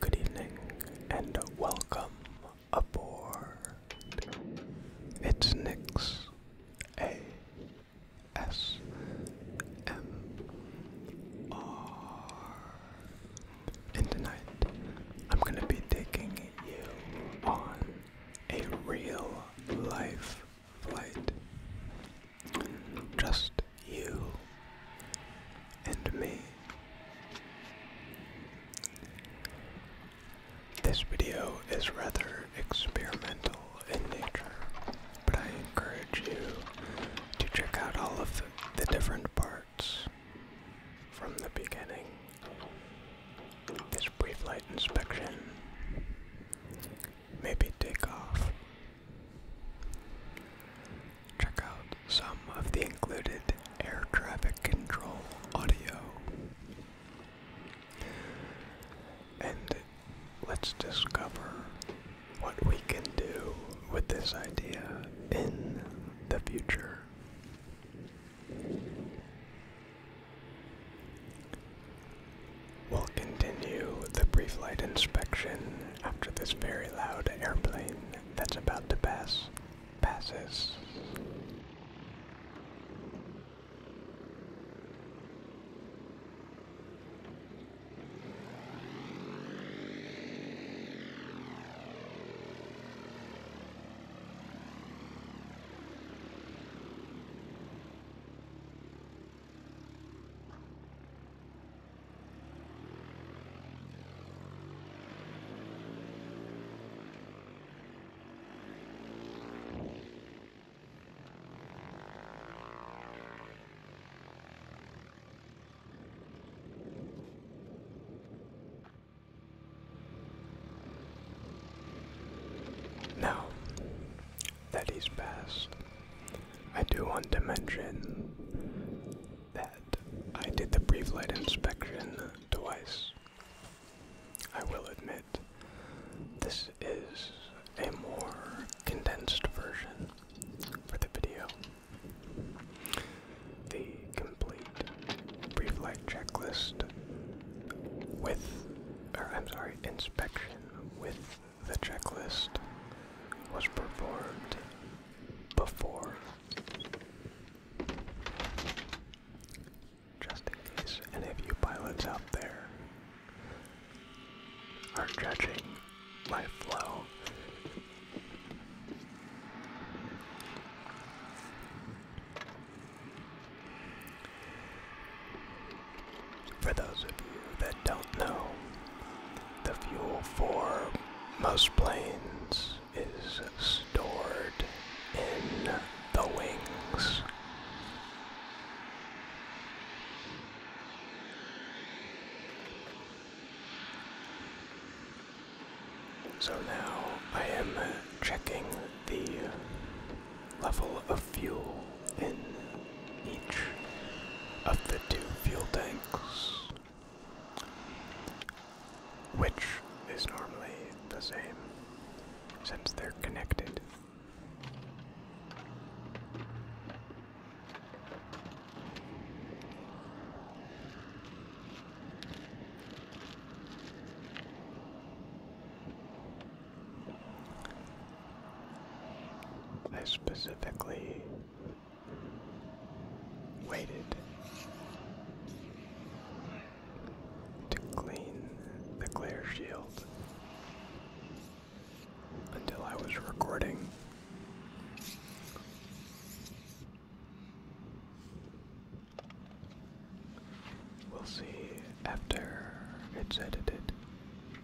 Good evening and welcome aboard. It's Nix A S M R. And tonight I'm going to be taking you on a real life flight just you and me. This video is rather experimental in nature, but I encourage you to check out all of the different parts from the beginning. This brief light inspection, maybe take off Check out some of the included air traffic control audio. And let's discover what we can do with this idea in the future. We'll continue the pre-flight inspection after this very loud airplane that's about to pass passes. Now that he's passed, I do want to mention that I did the brief light inspection twice. I will admit, this is a more condensed version for the video. The complete brief light checklist with, or I'm sorry, inspection with the checklist was performed before, just in case any of you pilots out there are judging my flow. For those of you that don't know, the fuel for most planes is stored in the wings. So now I am checking the level of fuel in each of the two fuel tanks. Which is normally the same since they're connected. specifically waited to clean the glare shield until I was recording. We'll see after it's edited.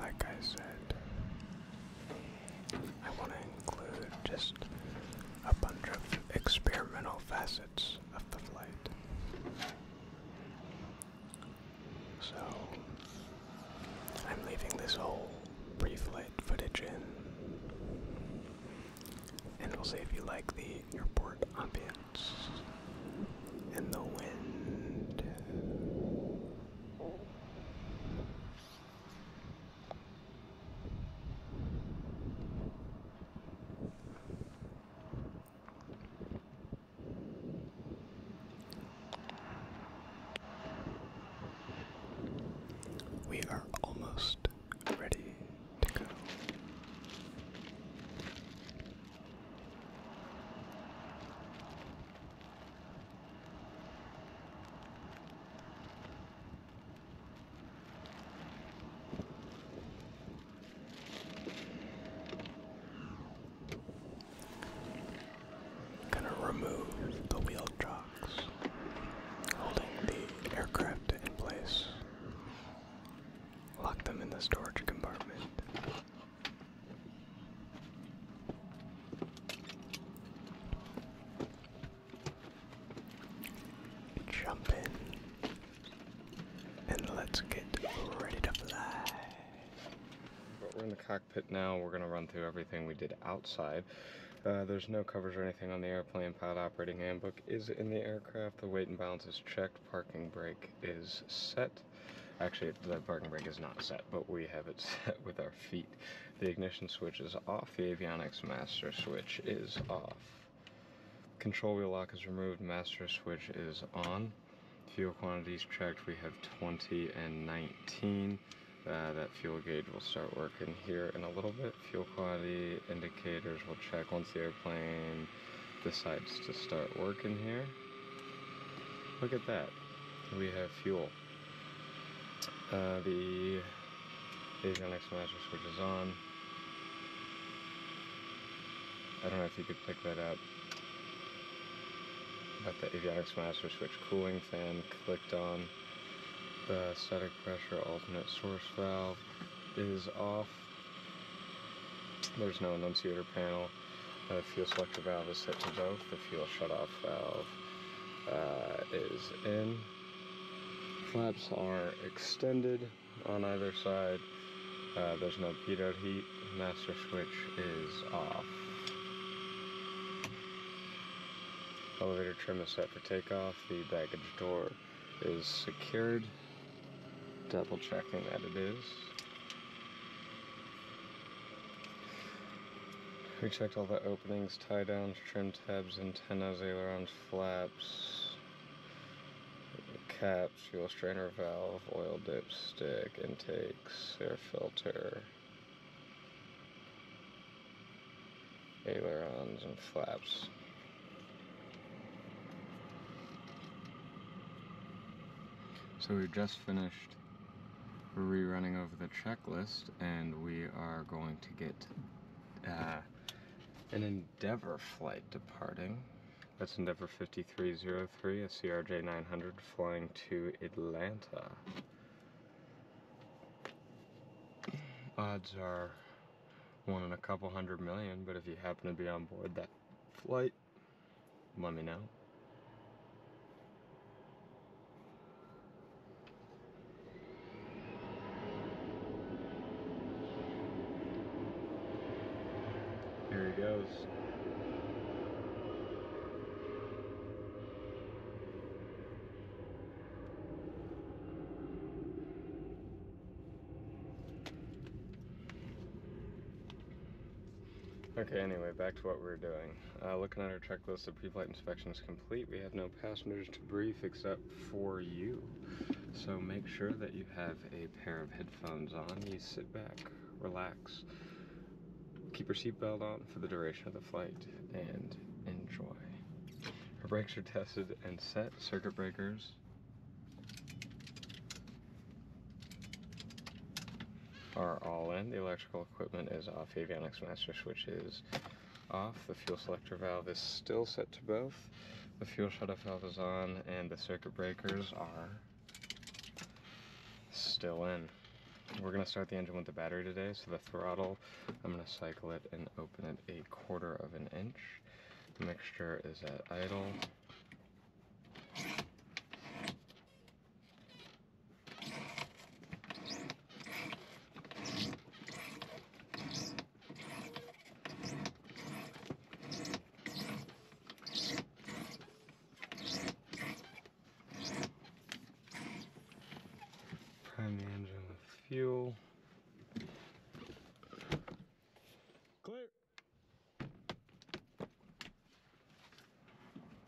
Like I said, I want to include just a bunch of experimental facets of the flight. So, I'm leaving this whole pre flight footage in, and we'll see if you like the airport ambience and the wind. We are almost ready to go. Gonna remove the wheel jocks holding the aircraft in place. Lock them in the storage compartment. Jump in. And let's get ready to fly. we're in the cockpit now. We're going to run through everything we did outside. Uh, there's no covers or anything on the airplane. Pilot operating handbook is in the aircraft. The weight and balance is checked. Parking brake is set. Actually, the parking brake is not set, but we have it set with our feet. The ignition switch is off, the avionics master switch is off. Control wheel lock is removed, master switch is on. Fuel quantities checked, we have 20 and 19. Uh, that fuel gauge will start working here in a little bit. Fuel quality indicators will check once the airplane decides to start working here. Look at that. We have fuel. Uh, the Asian master switch is on. I don't know if you could pick that up. Got the avionics master switch cooling fan clicked on. The static pressure alternate source valve is off. There's no enunciator panel. The fuel selector valve is set to both. The fuel shutoff valve uh, is in. Flaps are extended on either side. Uh, there's no heater heat. Master switch is off. Elevator trim is set for takeoff. The baggage door is secured. Double checking that it is. We checked all the openings tie downs, trim tabs, antennas, ailerons, flaps, caps, fuel strainer valve, oil dipstick, intakes, air filter, ailerons and flaps. So we just finished rerunning over the check. List and we are going to get uh, an Endeavour flight departing. That's Endeavour 5303, a CRJ 900, flying to Atlanta. Odds are one in a couple hundred million, but if you happen to be on board that flight, let me know. There he goes. Okay, anyway, back to what we were doing. Uh, looking at our track checklist of pre-flight inspection is complete. We have no passengers to brief except for you. So make sure that you have a pair of headphones on. You sit back, relax, keep your seatbelt on for the duration of the flight, and enjoy. Our brakes are tested and set. Circuit breakers are all in. The electric electrical equipment is off, avionics master switch is off, the fuel selector valve is still set to both, the fuel shutoff valve is on, and the circuit breakers are still in. We're gonna start the engine with the battery today, so the throttle, I'm gonna cycle it and open it a quarter of an inch. The mixture is at idle. Prime the engine with fuel. Clear.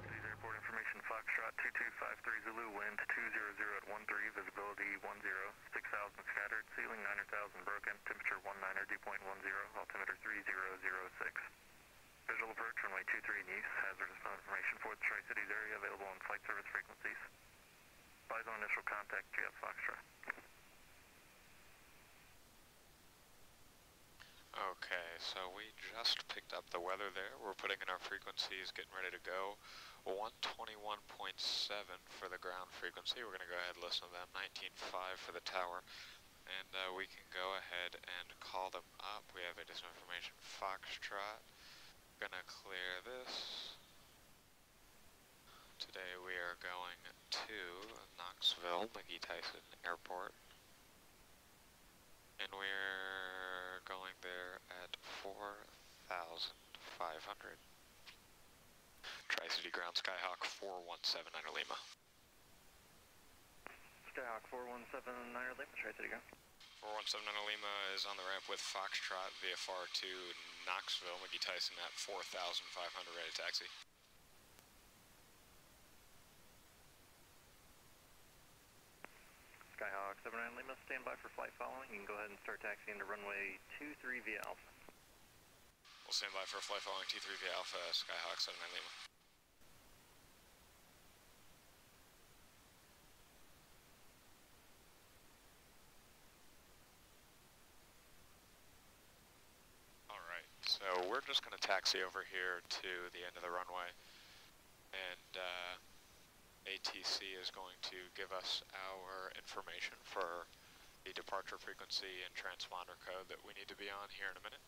530 is airport information, Foxtrot 2253 Zulu, wind 200 at 13, visibility 10, 6,000 scattered, ceiling 9,000 broken, temperature 19 dew point 10, altimeter 3006. Visual approach runway two 23 Nice, hazardous information for the Tri-Cities area available on flight service frequencies. Advise initial contact, Jet Foxtrot. Okay, so we just picked up the weather there. We're putting in our frequencies, getting ready to go. 121.7 for the ground frequency. We're going to go ahead and listen to them. 19.5 for the tower. And uh, we can go ahead and call them up. We have additional information. foxtrot. Going to clear this. Today we are going to Knoxville, McGee Tyson Airport. And we're going there at 4,500. Tri-City Ground Skyhawk 417 Niner Lima. Skyhawk 417 Niner Lima, Tri-City Ground. 417 Niner Lima is on the ramp with Foxtrot VFR to Knoxville, McGee Tyson at 4,500 ready taxi. Skyhawk nine Lima, stand by for flight following. You can go ahead and start taxiing to runway 23 via Alpha. We'll stand by for flight following T3 via Alpha, Skyhawk nine Lima. Alright, so we're just going to taxi over here to the end of the runway. And uh, ATC is going to give us our information for the departure frequency and transponder code that we need to be on here in a minute.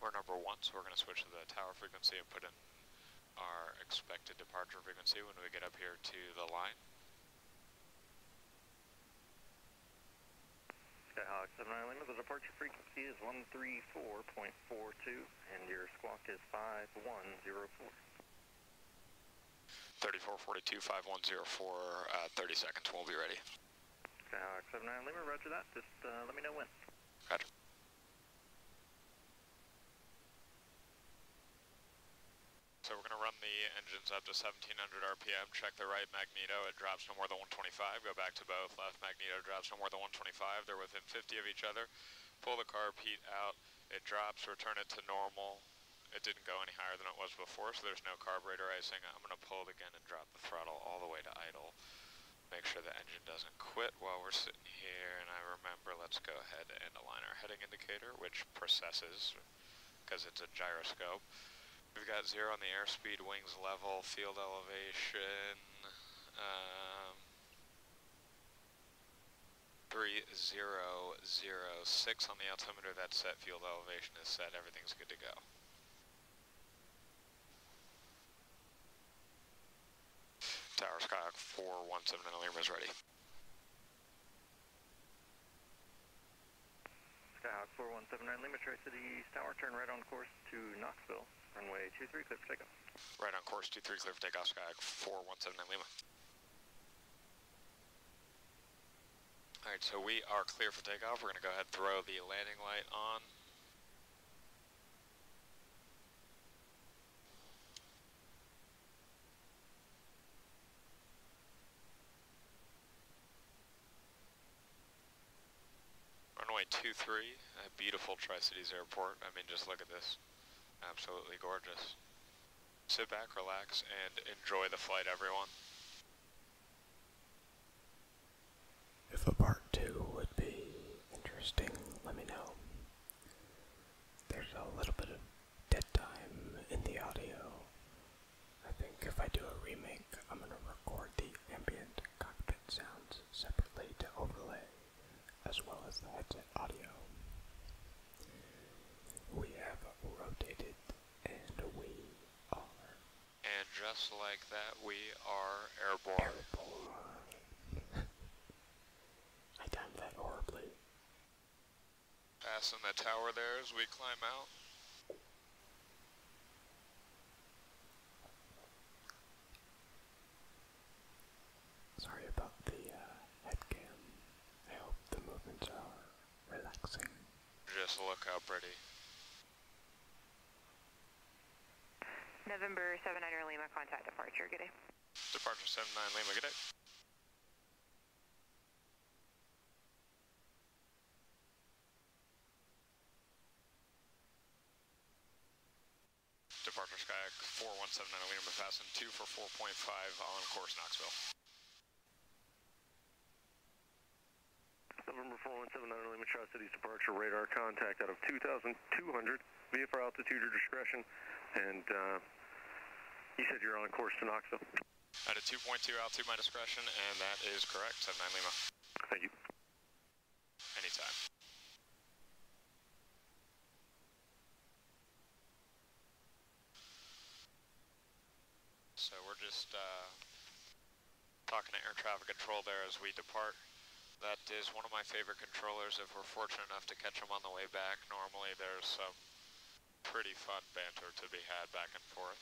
We're number one, so we're going to switch the tower frequency and put in our expected departure frequency when we get up here to the line. Skyhawk 79 Lima, the departure frequency is 134.42 and your squawk is 5104. 3442, 5104, uh, 30 seconds, we'll be ready. Skyhawk 79 Lima, roger that, just uh, let me know when. Roger. So we're going to run the engines up to 1700 RPM, check the right magneto, it drops no more than 125, go back to both, left magneto drops no more than 125, they're within 50 of each other, pull the carb heat out, it drops, return it to normal, it didn't go any higher than it was before, so there's no carburetor icing, I'm going to pull it again and drop the throttle all the way to idle. Make sure the engine doesn't quit while we're sitting here, and I remember let's go ahead and align our heading indicator, which processes because it's a gyroscope. We've got zero on the airspeed, wings level, field elevation, um, 3006 on the altimeter, That set, field elevation is set, everything's good to go. Tower Skyhawk 417 Lima is ready. Skyhawk 417 Lima, Tri Cities Tower, turn right on course to Knoxville, runway two three. clear for takeoff. Right on course 23, clear for takeoff, Skyhawk 417 Lima. All right, so we are clear for takeoff. We're gonna go ahead and throw the landing light on. Runway 23 at beautiful Tri-Cities Airport. I mean, just look at this. Absolutely gorgeous. Sit back, relax, and enjoy the flight, everyone. If a part two would be interesting, let me know. There's a little bit of dead time in the audio. I think if I do a remake, I'm going to record the ambient cockpit sounds separately to overlay, as well as the headset audio. We have rotated, and we are. And just like that, we are airborne. Airborne. I timed that horribly. Passing the tower there as we climb out. Sorry about the uh, headcam. I hope the movements are relaxing. Just look how pretty. November seven nine Lima, contact departure, good day. Departure seven nine Lima, good day. Departure Skyhack 4179 Lima, passing 2 for 4.5 on course Knoxville. November 4179 Lima, tri departure radar contact out of 2000 Two hundred, VFR altitude or discretion, and uh, you said you're on course to Knoxville. At a 2.2 altitude, my discretion, and that is correct, 79 Lima. Thank you. Anytime. So we're just uh, talking to air traffic control there as we depart. That is one of my favorite controllers if we're fortunate enough to catch them on the way back. Normally there's some pretty fun banter to be had back and forth.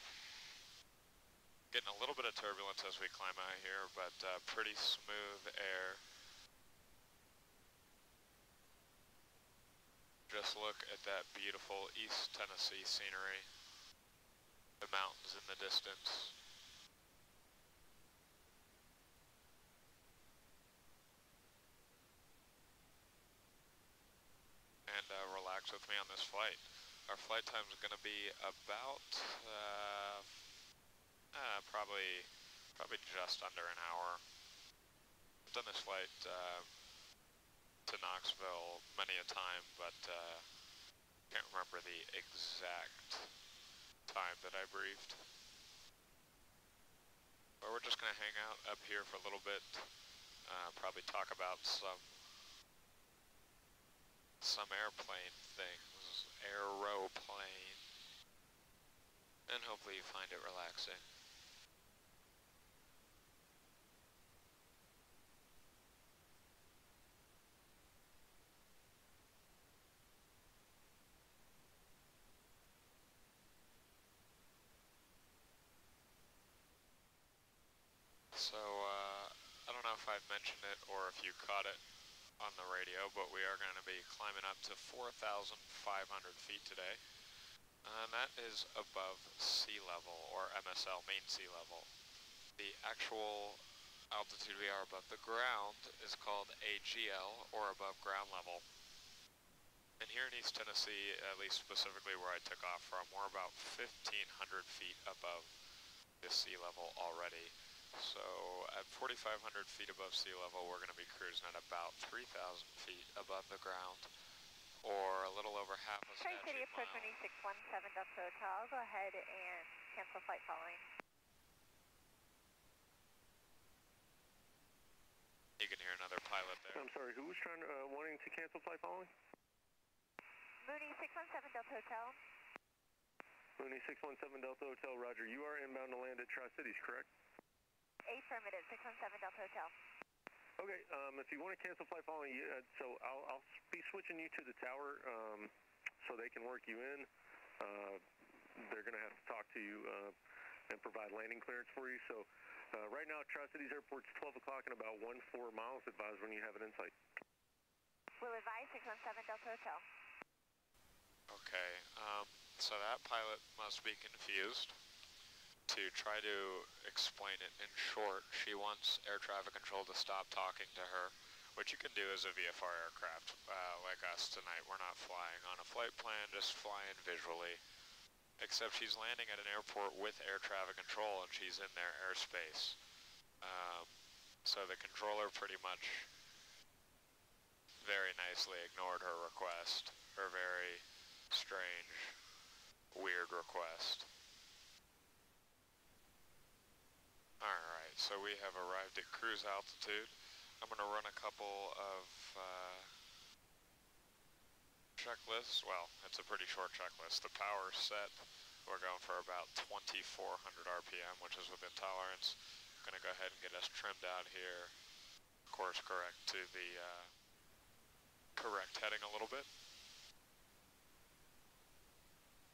Getting a little bit of turbulence as we climb out here, but uh, pretty smooth air. Just look at that beautiful East Tennessee scenery. The mountains in the distance, and uh, relax with me on this flight. Our flight time is going to be about uh, uh, probably probably just under an hour. I've done this flight to Knoxville many a time, but can't remember the exact time that I briefed. But we're just going to hang out up here for a little bit. Uh, probably talk about some some airplane things, aeroplane, and hopefully you find it relaxing. So, uh, I don't know if I've mentioned it or if you caught it on the radio, but we are going to be climbing up to 4,500 feet today. And that is above sea level, or MSL, mean sea level the actual altitude we are above the ground is called AGL, or above ground level. And here in East Tennessee, at least specifically where I took off from, we're about 1,500 feet above the sea level already. So at 4,500 feet above sea level, we're going to be cruising at about 3,000 feet above the ground, or a little over half a Tri City approach 18617 Delta Hotel. Go ahead and cancel flight following. You can hear another pilot there. I'm sorry, Who is trying to, uh, wanting to cancel flight following? Mooney 617 Delta Hotel. Mooney 617 Delta Hotel, roger. You are inbound to land at Tri-Cities, correct? Affirmative, 617 Delta Hotel. Okay, um, if you want to cancel flight following, so I'll, be switching you to the tower um, so they can work you in. Uh, they're going to have to talk to you uh, and provide landing clearance for you. So uh, right now, Tri-Cities Airport's 12 o'clock and about one four miles. Advise when you have an insight. Will advise 617 Delta Hotel. Okay, um, so that pilot must be confused. To try to explain it in short, she wants air traffic control to stop talking to her. What you can do as a VFR aircraft uh, like us tonight. We're not flying on a flight plan, just flying visually. Except she's landing at an airport with air traffic control and she's in their airspace. Um, so the controller pretty much very nicely ignored her request, her very strange, weird request. Alright, so we have arrived at cruise altitude. I'm going to run a couple of uh, checklists. Well, it's a pretty short checklist. The power set, we're going for about 2400 RPM, which is within tolerance. going to go ahead and get us trimmed out here, course correct to the uh, correct heading a little bit.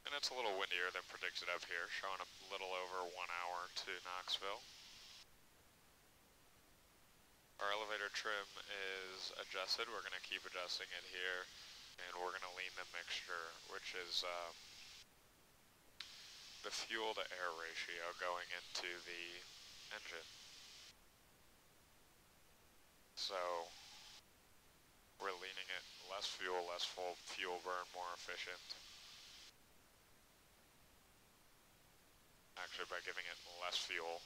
And it's a little windier than predicted up here, showing a little over one hour to Knoxville. Our elevator trim is adjusted. We're going to keep adjusting it here, and we're going to lean the mixture, which is um, the fuel to air ratio going into the engine. So we're leaning it less fuel, less full fuel burn, more efficient. Actually, by giving it less fuel.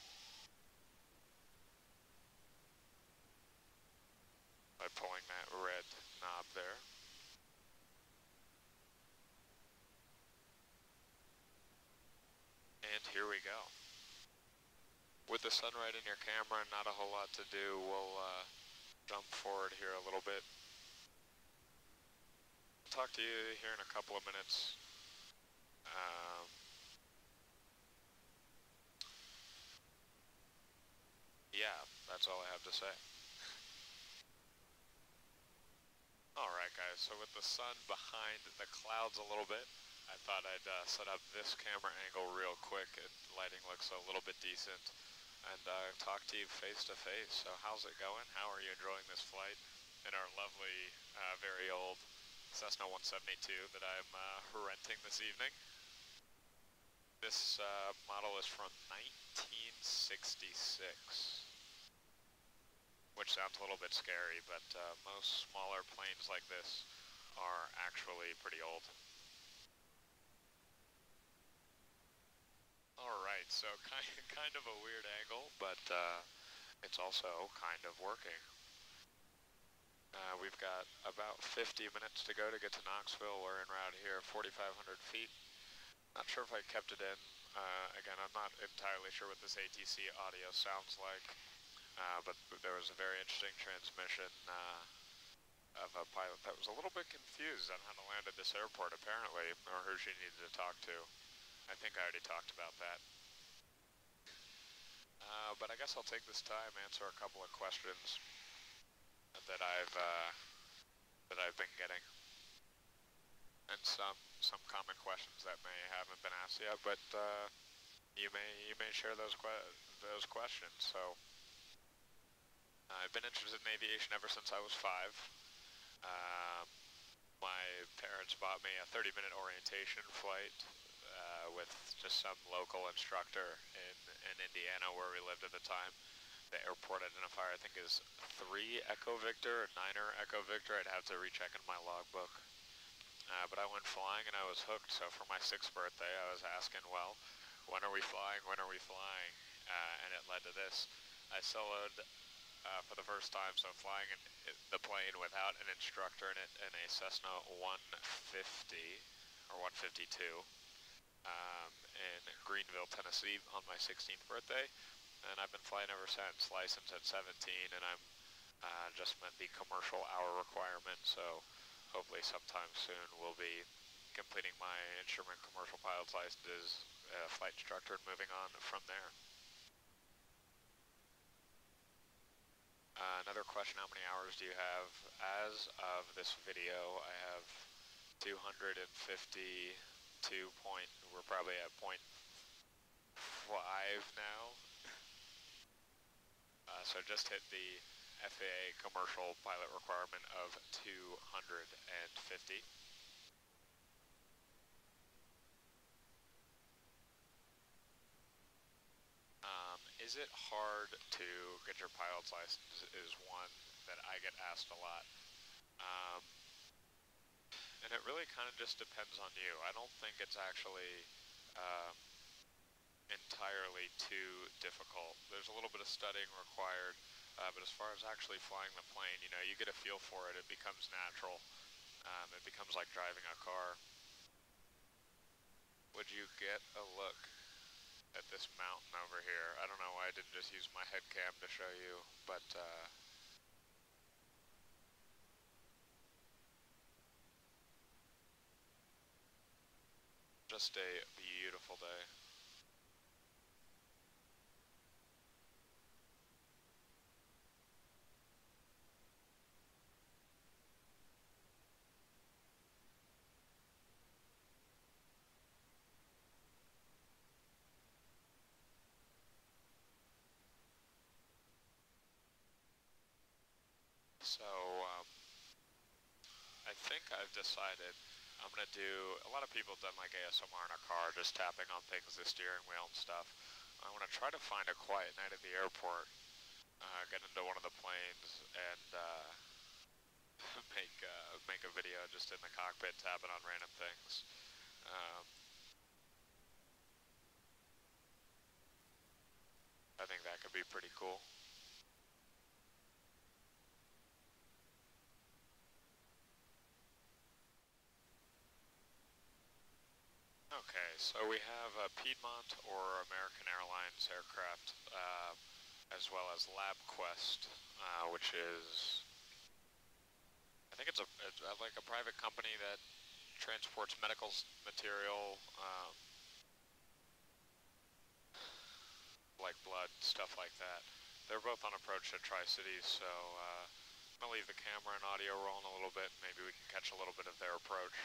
By pulling that red knob there. And here we go. With the sun right in your camera, not a whole lot to do. We'll uh, jump forward here a little bit. I'll talk to you here in a couple of minutes. Um, yeah, that's all I have to say. Alright guys, so with the sun behind the clouds a little bit, I thought I'd uh, set up this camera angle real quick. It, lighting looks a little bit decent and uh, talk to you face to face. So how's it going? How are you enjoying this flight in our lovely, uh, very old Cessna 172 that I'm uh, renting this evening? This model is from 1966 which sounds a little bit scary, but most smaller planes like this are actually pretty old. Alright, so kind, kind of a weird angle, but uh, it's also kind of working. Uh, we've got about 50 minutes to go to get to Knoxville. We're in around here, 4,500 feet. Not sure if I kept it in. Uh, again, I'm not entirely sure what this ATC audio sounds like, but there was a very interesting transmission of a pilot that was a little bit confused on how to land at this airport, apparently, or who she needed to talk to. I think I already talked about that. Uh, but I guess I'll take this time answer a couple of questions that I've uh, that I've been getting, and some some common questions that may haven't been asked yet. But uh, you may you may share those que those questions. So uh, I've been interested in aviation ever since I was five. Uh, my parents bought me a 30-minute orientation flight uh, with just some local instructor in, in Indiana where we lived at the time. The airport identifier, I think, is 3 Echo Victor or 9er Echo Victor. I'd have to recheck in my logbook. Uh, but I went flying and I was hooked, so for my sixth birthday, I was asking, well, when are we flying, when are we flying? Uh, and it led to this. I soloed uh, for the first time, so flying the plane without an instructor in it in a Cessna 150 or 152 um, in Greenville, Tennessee on my 16th birthday. And I've been flying ever since, licensed at 17, and I'm uh, just met the commercial hour requirement, so hopefully sometime soon we'll be completing my instrument commercial pilot license as flight instructor and moving on from there. Uh, another question, how many hours do you have? As of this video, I have 252 point, we're probably at point five now. Uh, so just hit the FAA commercial pilot requirement of 250. Um, is it hard to get your pilot's license is one that I get asked a lot. Um, and it really kind of just depends on you. I don't think it's actually um, entirely too difficult. There's a little bit of studying required, uh, but as far as actually flying the plane, you know, you get a feel for it, it becomes natural. Um, it becomes like driving a car. Would you get a look at this mountain over here? I don't know why I didn't just use my head cam to show you, but uh, just a beautiful day. So, um, I think I've decided I'm going to do, a lot of people have done like ASMR in a car, just tapping on things, the steering wheel and stuff. I want to try to find a quiet night at the airport, uh, get into one of the planes and uh, make, uh, make a video just in the cockpit tapping on random things. Um, I think that could be pretty cool. Okay, so we have a Piedmont or American Airlines aircraft, uh, as well as LabQuest, uh, which is, I think it's a it's uh, like a private company that transports medical material uh, like blood, stuff like that. They're both on approach to tri City, so uh, I'm going to leave the camera and audio rolling a little bit. Maybe we can catch a little bit of their approach.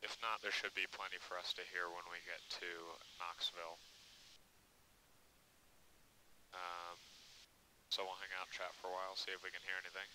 If not, there should be plenty for us to hear when we get to Knoxville. Um, so we'll hang out, chat for a while, see if we can hear anything.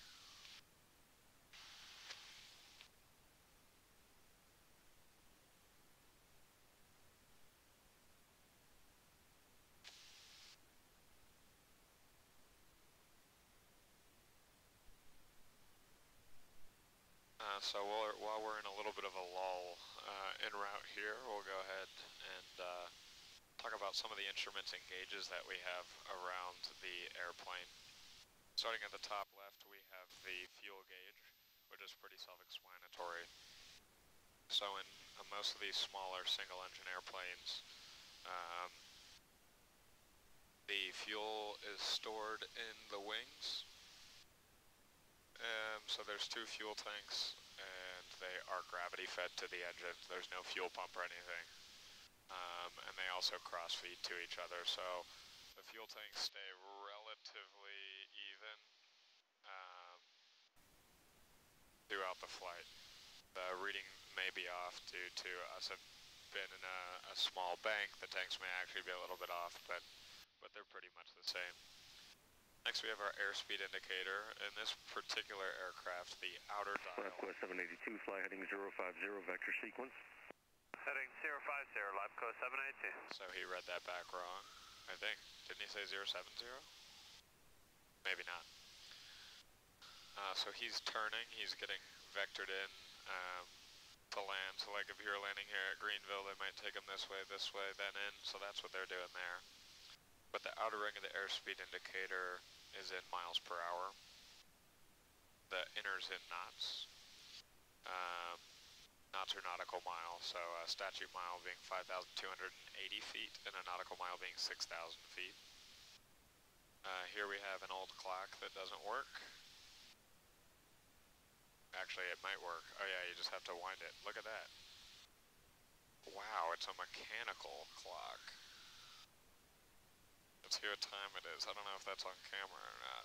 Uh, so while, we're in a little bit of a lull uh, en route here, we'll go ahead and uh, talk about some of the instruments and gauges that we have around the airplane. Starting at the top left, we have the fuel gauge which is pretty self-explanatory. So in uh, most of these smaller single-engine airplanes, um, the fuel is stored in the wings. Um, so there's two fuel tanks, and they are gravity fed to the engine. There's no fuel pump or anything. Um, and they also cross feed to each other. So the fuel tanks stay relatively even um, throughout the flight. The reading may be off due to us have been in a, small bank. The tanks may actually be a little bit off, but, but they're pretty much the same. Next we have our airspeed indicator. In this particular aircraft, the outer dial... Southwest 782, fly heading 050, vector sequence. Heading 050, LAPCO 782. So he read that back wrong, I think. Didn't he say 070? Maybe not. Uh, so he's turning, he's getting vectored in um, to land. So like if you're landing here at Greenville, they might take him this way, this way, then in. So that's what they're doing there. But the outer ring of the airspeed indicator is in miles per hour. The inner's in knots. Um, knots or nautical mile, so a statute mile being 5,280 feet and a nautical mile being 6,000 feet. Uh, here we have an old clock that doesn't work. Actually, it might work. Oh yeah, you just have to wind it. Look at that. Wow, it's a mechanical clock. Let's see what time it is. I don't know if that's on camera or not.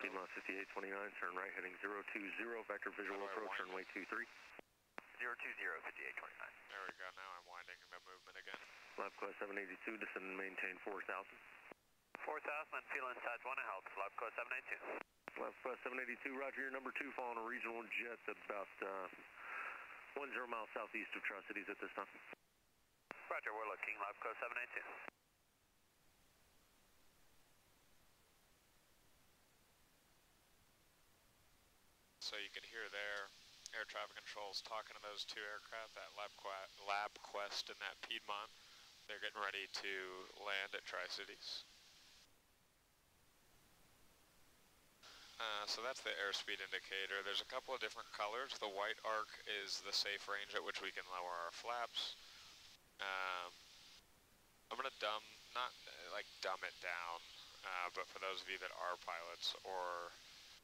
Piedmont 5829, turn right heading 020, vector visual approach, runway 23. 020, 5829. There we go, now I'm winding about movement again. LabQuest 782, descend and maintain 4000. 4000 and feel inside 1 and help, LabQuest 782. LabQuest 782, roger, your number 2 following a regional jet about uh, 10 miles southeast of Tri-Cities at this time. Roger, we're looking, LabQuest 782. So you can hear there, air traffic controls talking to those two aircraft, that Lab Quest and that Piedmont. They're getting ready to land at Tri-Cities. Uh, so that's the airspeed indicator. There's a couple of different colors. The white arc is the safe range at which we can lower our flaps. Um, I'm going to dumb, not like dumb it down, uh, but for those of you that are pilots or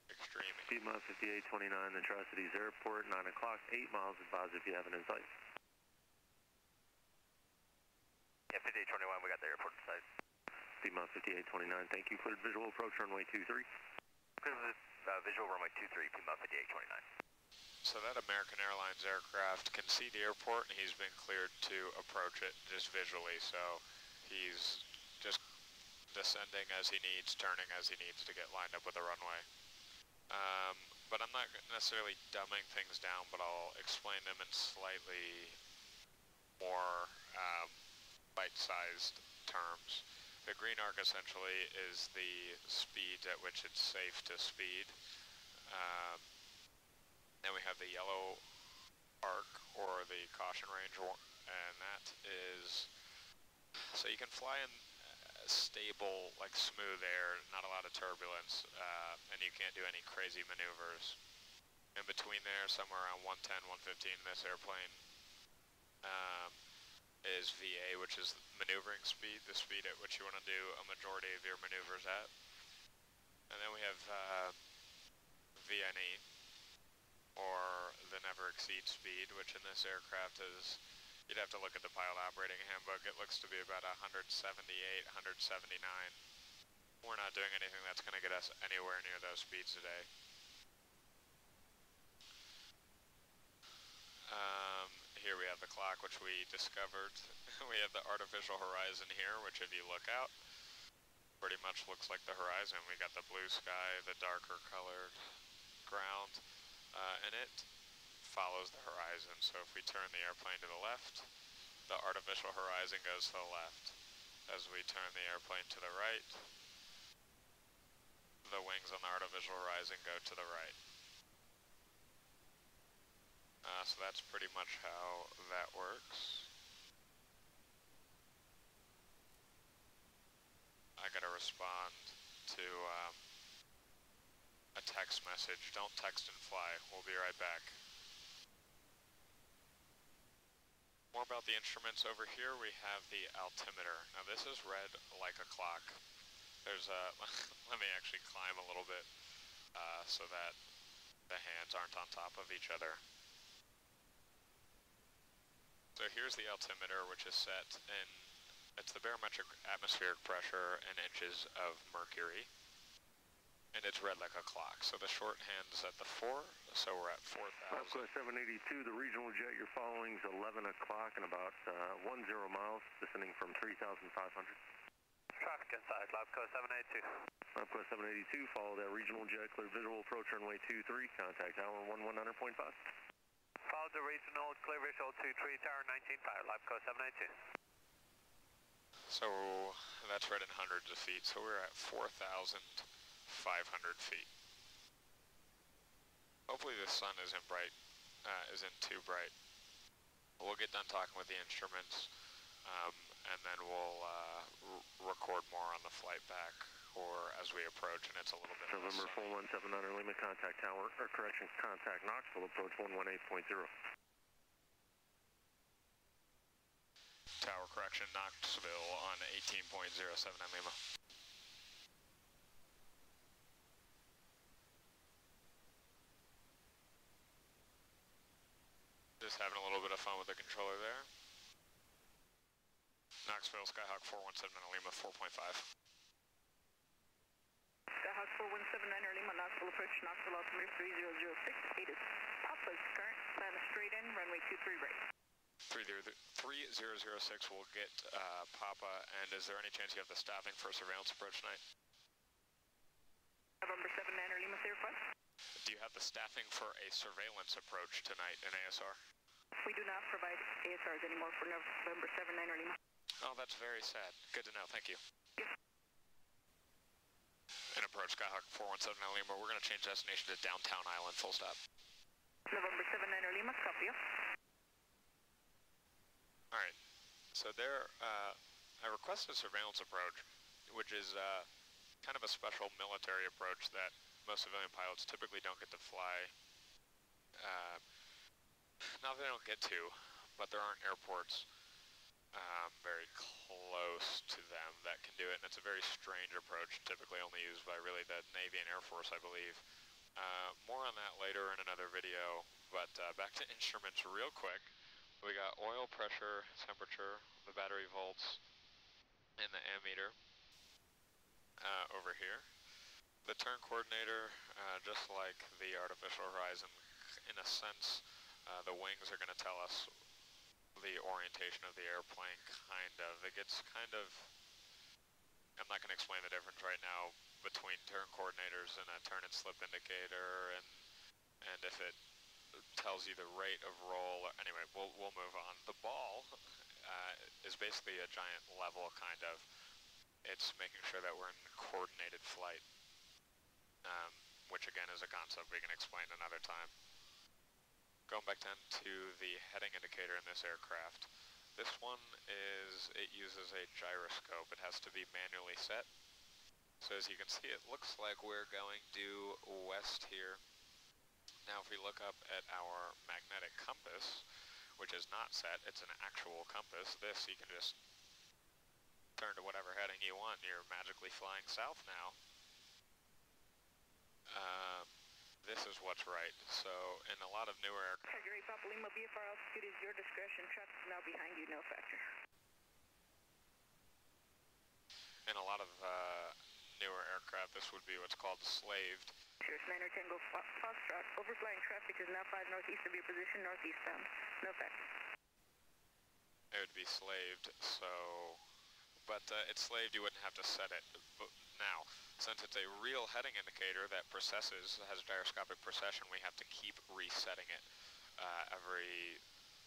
extreme. Piedmont 5829, Atrocities Airport, 9 o'clock, 8 miles advisory. if you have an insight. Yeah, 5821, we got the airport inside. Piedmont 5829, thank you. Cleared visual approach runway 23. Cleared uh, visual runway 23, Piedmont 5829. So that American Airlines aircraft can see the airport and he's been cleared to approach it just visually. So he's just descending as he needs, turning as he needs to get lined up with the runway. Um, but I'm not necessarily dumbing things down, but I'll explain them in slightly more um, bite-sized terms. The green arc essentially is the speeds at which it's safe to speed. Um, then we have the yellow arc or the caution range, and that is, so you can fly in uh, stable, like smooth air, not a lot of turbulence, uh, and you can't do any crazy maneuvers. In between there, somewhere around 110, 115 in this airplane, um, is VA, which is maneuvering speed, the speed at which you want to do a majority of your maneuvers at. And then we have uh, VNE, or the never exceed speed, which in this aircraft is, you'd have to look at the pilot operating handbook, it looks to be about 178, 179. We're not doing anything that's going to get us anywhere near those speeds today. Um, here we have the clock, which we discovered. we have the artificial horizon here, which if you look out, pretty much looks like the horizon. We got the blue sky, the darker colored ground, uh, and it follows the horizon. So if we turn the airplane to the left, the artificial horizon goes to the left. As we turn the airplane to the right, the wings on the artificial horizon go to the right. Uh, so that's pretty much how that works. I gotta respond to um, a text message. Don't text and fly. We'll be right back. More about the instruments over here, we have the altimeter. Now this is read like a clock. There's uh, a, let me actually climb a little bit uh, so that the hands aren't on top of each other. So here's the altimeter which is set in, it's the barometric atmospheric pressure in inches of mercury. And it's read like a clock. So the short hand is at the 4, so we're at 4,000. the regional jet you're following is 11 o'clock and about uh, 10 miles descending from 3,500. Traffic inside, LabCo 782. LabCo 782, follow that regional jet, clear visual approach runway 23, contact tower 119.5. Follow the regional, clear visual 23, tower 195, LabCo 782. So that's right in hundreds of feet, so we're at 4,500 feet. Hopefully the sun isn't bright, uh, isn't too bright. We'll get done talking with the instruments, um, and then we'll uh, record more on the flight back or as we approach, and it's a little bit. November 4179 Lima contact tower, or correction, contact Knoxville approach 118.0. Tower correction, Knoxville on 18.07 at just having a little bit of fun with the controller there. Knoxville Skyhawk 417 Lima 4.5. Skyhawk 4179 Lima, Knoxville approach, Knoxville altimeter 3006. It is Papa's current, land straight in, runway 23 right. 3006 will get uh, Papa, and is there any chance you have the staffing for a surveillance approach tonight? November 7 Manor Lima, Sierra Front. Do you have the staffing for a surveillance approach tonight in ASR? We do not provide ASRs anymore for November 7 Manor Lima. Oh, that's very sad. Good to know. Thank you. Yes. approach Skyhawk 417 Manor we're going to change destination to downtown island, full stop. November 7 Manor Lima, copy. All right. So there, uh, I requested surveillance approach, which is uh, kind of a special military approach that most civilian pilots typically don't get to fly. Um, not that they don't get to, but there aren't airports um, very close to them that can do it, and it's a very strange approach, typically only used by really the Navy and Air Force, I believe, uh, more on that later in another video, but uh, back to instruments real quick. We got oil pressure, temperature, the battery volts, and the ammeter uh, over here. The turn coordinator, just like the artificial horizon, in a sense, the wings are going to tell us the orientation of the airplane, kind of. It gets kind of I'm not going to explain the difference right now between turn coordinators and a turn and slip indicator and and if it tells you the rate of roll. Or, anyway, we'll, we'll move on. The ball uh, is basically a giant level, kind of. It's making sure that we're in coordinated flight, um, which again is a concept we can explain another time. Going back then to the heading indicator in this aircraft, this one is, it uses a gyroscope. It has to be manually set. So as you can see, it looks like we're going due west here. Now if we look up at our magnetic compass, which is not set, it's an actual compass. This, you can just turn to whatever heading you want. You're magically flying south now. Um, this is what's right. So in a lot of newer Padre Papa Lima, VFR altitude is your discretion. Truck is now behind you, no factor. In a lot of uh, newer aircraft, this would be what's called slaved. Sure, Niner Tango Foxtrot, overflying traffic is now 5 northeast of your position, northeastbound. No factor. It would be slaved, so... But uh, it's slaved, you wouldn't have to set it now. Since it's a real heading indicator that processes, has gyroscopic per session, we have to keep resetting it uh, every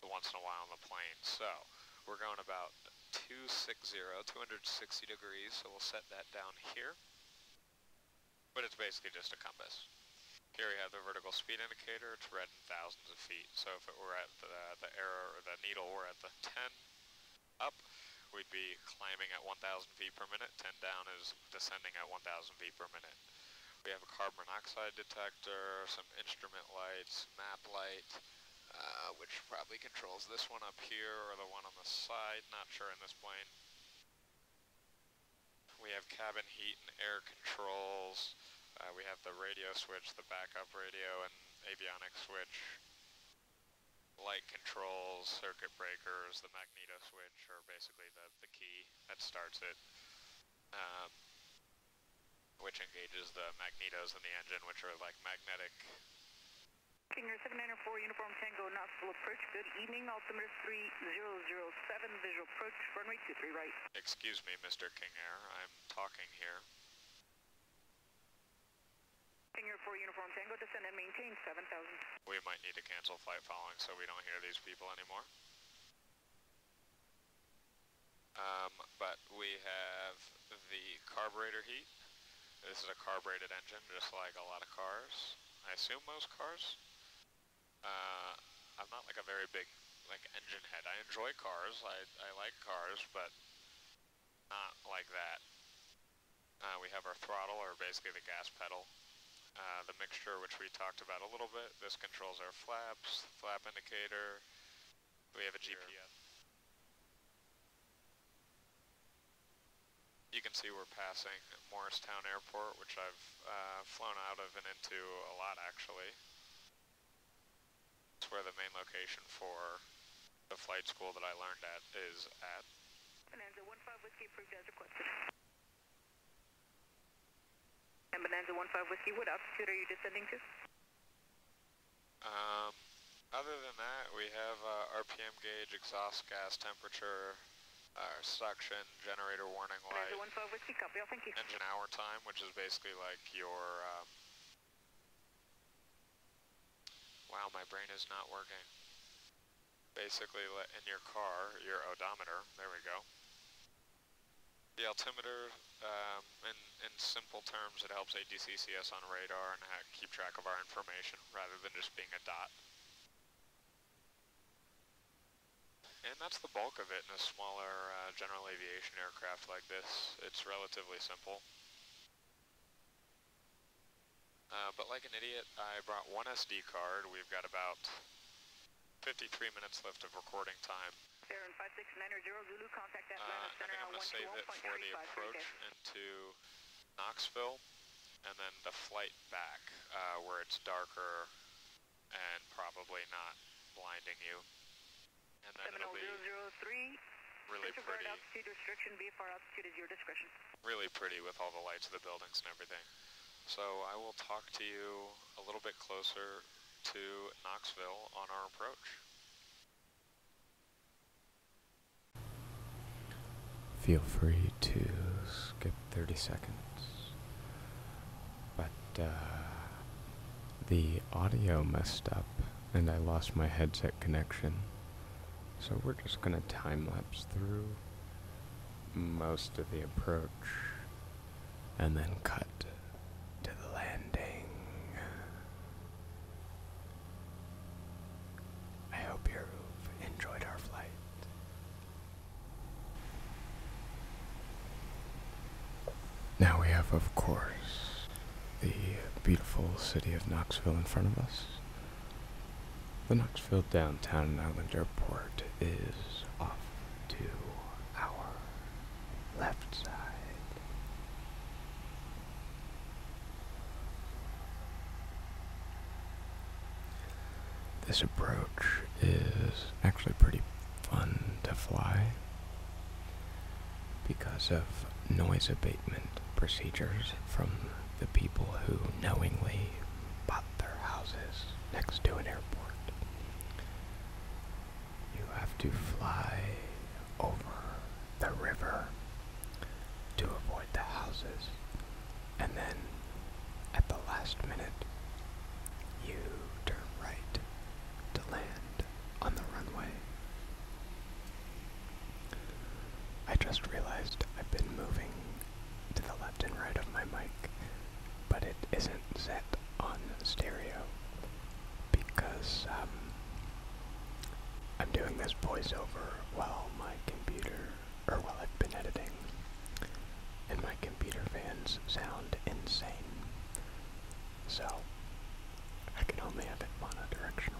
once in a while on the plane. So we're going about 260, 260 degrees, so we'll set that down here. But it's basically just a compass. Here we have the vertical speed indicator, it's read in thousands of feet. So if it were at the, the arrow or the needle were at the 10 up, we'd be climbing at 1,000 feet per minute. 10 down is descending at 1,000 feet per minute. We have a carbon monoxide detector, some instrument lights, map light, uh, which probably controls this one up here or the one on the side, not sure in this plane. We have cabin heat and air controls. Uh, we have the radio switch, the backup radio, and avionics switch. Light controls, circuit breakers, the magneto switch are basically the the, key that starts it, um, which engages the magnetos in the engine, which are like magnetic. Finger 794 Uniform Tango Knoxville approach. Good evening. Altimeter 3007 visual approach. Runway 23 right. Excuse me, Mr. King Air. I'm talking here. Finger 4 Uniform Tango. Descend and maintain 7000. We might need to cancel flight following so we don't hear these people anymore. Um, but we have the carburetor heat. This is a carbureted engine, just like a lot of cars. I assume most cars. Uh, I'm not like a very big like engine head. I enjoy cars. I, I like cars, but not like that. Uh, we have our throttle, or basically the gas pedal. Uh, the mixture, which we talked about a little bit. This controls our flaps, flap indicator. We have a GPS. You can see we're passing Morristown Airport, which I've uh, flown out of and into a lot, actually. It's where the main location for the flight school that I learned at is at. Bonanza 1-5 Whiskey approved as requested. And Bonanza 15 Whiskey, what altitude are you descending to? Um, other than that, we have uh, RPM gauge, exhaust gas temperature, uh, suction, generator warning light. Bonanza 15 Whiskey, copy, oh, thank you. Engine hour time, which is basically like your... Um... wow, my brain is not working basically in your car, your odometer, there we go. The altimeter, um, in, in simple terms, it helps ADCCS on radar and keep track of our information rather than just being a dot. And that's the bulk of it in a smaller uh, general aviation aircraft like this. It's relatively simple. Uh, but like an idiot, I brought one SD card. We've got about 53 minutes left of recording time. Aaron 5690 Zulu, contact Atlanta uh, I am going to save it for the approach into Knoxville and then the flight back uh, where it's darker and probably not blinding you. And then it'll oh be really pretty. altitude restriction, BFR altitude is your discretion really pretty with all the lights of the buildings and everything. So I will talk to you a little bit closer to Knoxville on our approach. Feel free to skip 30 seconds, but uh, the audio messed up and I lost my headset connection. So we're just going to time lapse through most of the approach and then cut to the landing. I hope you've enjoyed our flight. Now we have, of course, the beautiful city of Knoxville in front of us. The Knoxville Downtown and Island Airport is off to our left side. This approach is actually pretty fun to fly because of noise abatement procedures from the people who knowingly bother got their houses next to an airport. You have to fly over the river to avoid the houses, and then at the last minute, you turn right to land on the runway. I just realized I've been moving to the left left and right of my mic, but it isn't set on stereo because um, I'm doing this voiceover while my computer, or while I've been editing, and my computer fans sound insane. So I can only have it mono directional.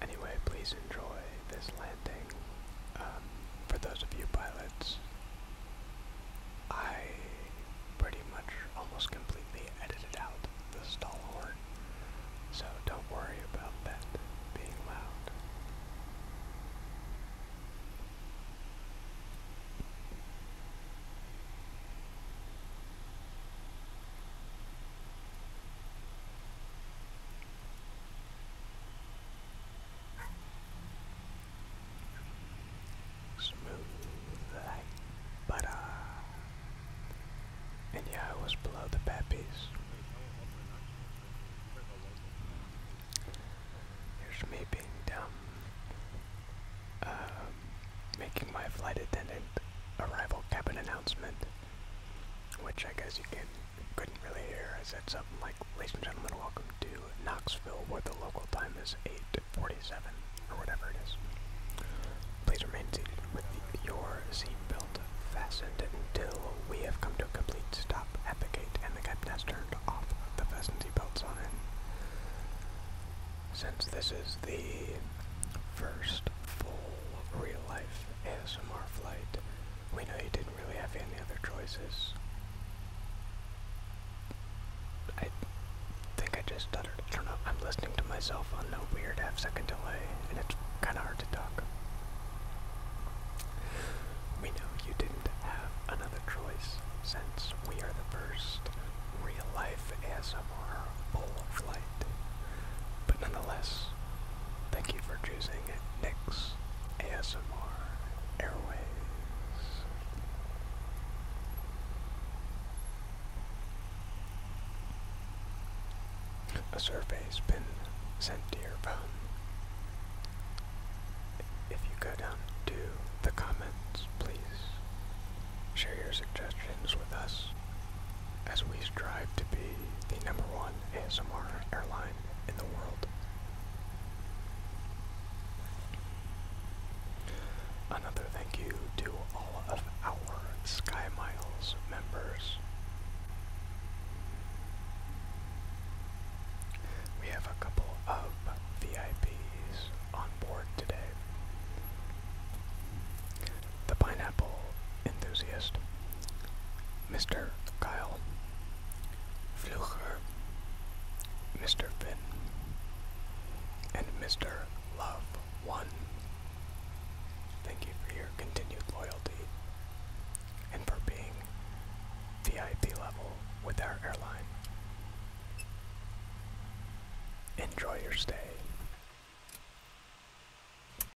Anyway, please enjoy this landing. Um, for those of you pilots, I pretty much almost completely edited out the stall horn, so don't worry about that being loud. Smooth like butter. Uh, and yeah, I was below the Pappies. Here's me being dumb. Um, making my flight attendant arrival cabin announcement, which I guess you can couldn't really hear, I said something like, Ladies and gentlemen, welcome to Knoxville, where the local time is 8.47, or whatever it is. Please remain seated with the, your seatbelt fastened until we have come to a complete stop at the gate and the captain has turned off the fasten seatbelt sign. Since this is the first full real-life ASMR flight. We know you didn't really have any other choices. I think I just stuttered. I don't know. I'm listening to myself on no weird half second delay, and it's kind of hard to talk. We know you didn't have another choice since we are the first real life ASMR full flight. But nonetheless, thank you for choosing Nix ASMR Airways. A survey's been sent to your phone. If you go down to the comments, please share your suggestions with us as we strive to be the number one ASMR airline in the world. Another thank you to all of our Sky Miles members. We have a couple of VIPs on board today the pineapple enthusiast, Mr. Kyle, Flucher, Mr. Finn, and Mr. Love One. Thank you for your continued loyalty and for being VIP level with our airline. Enjoy your stay.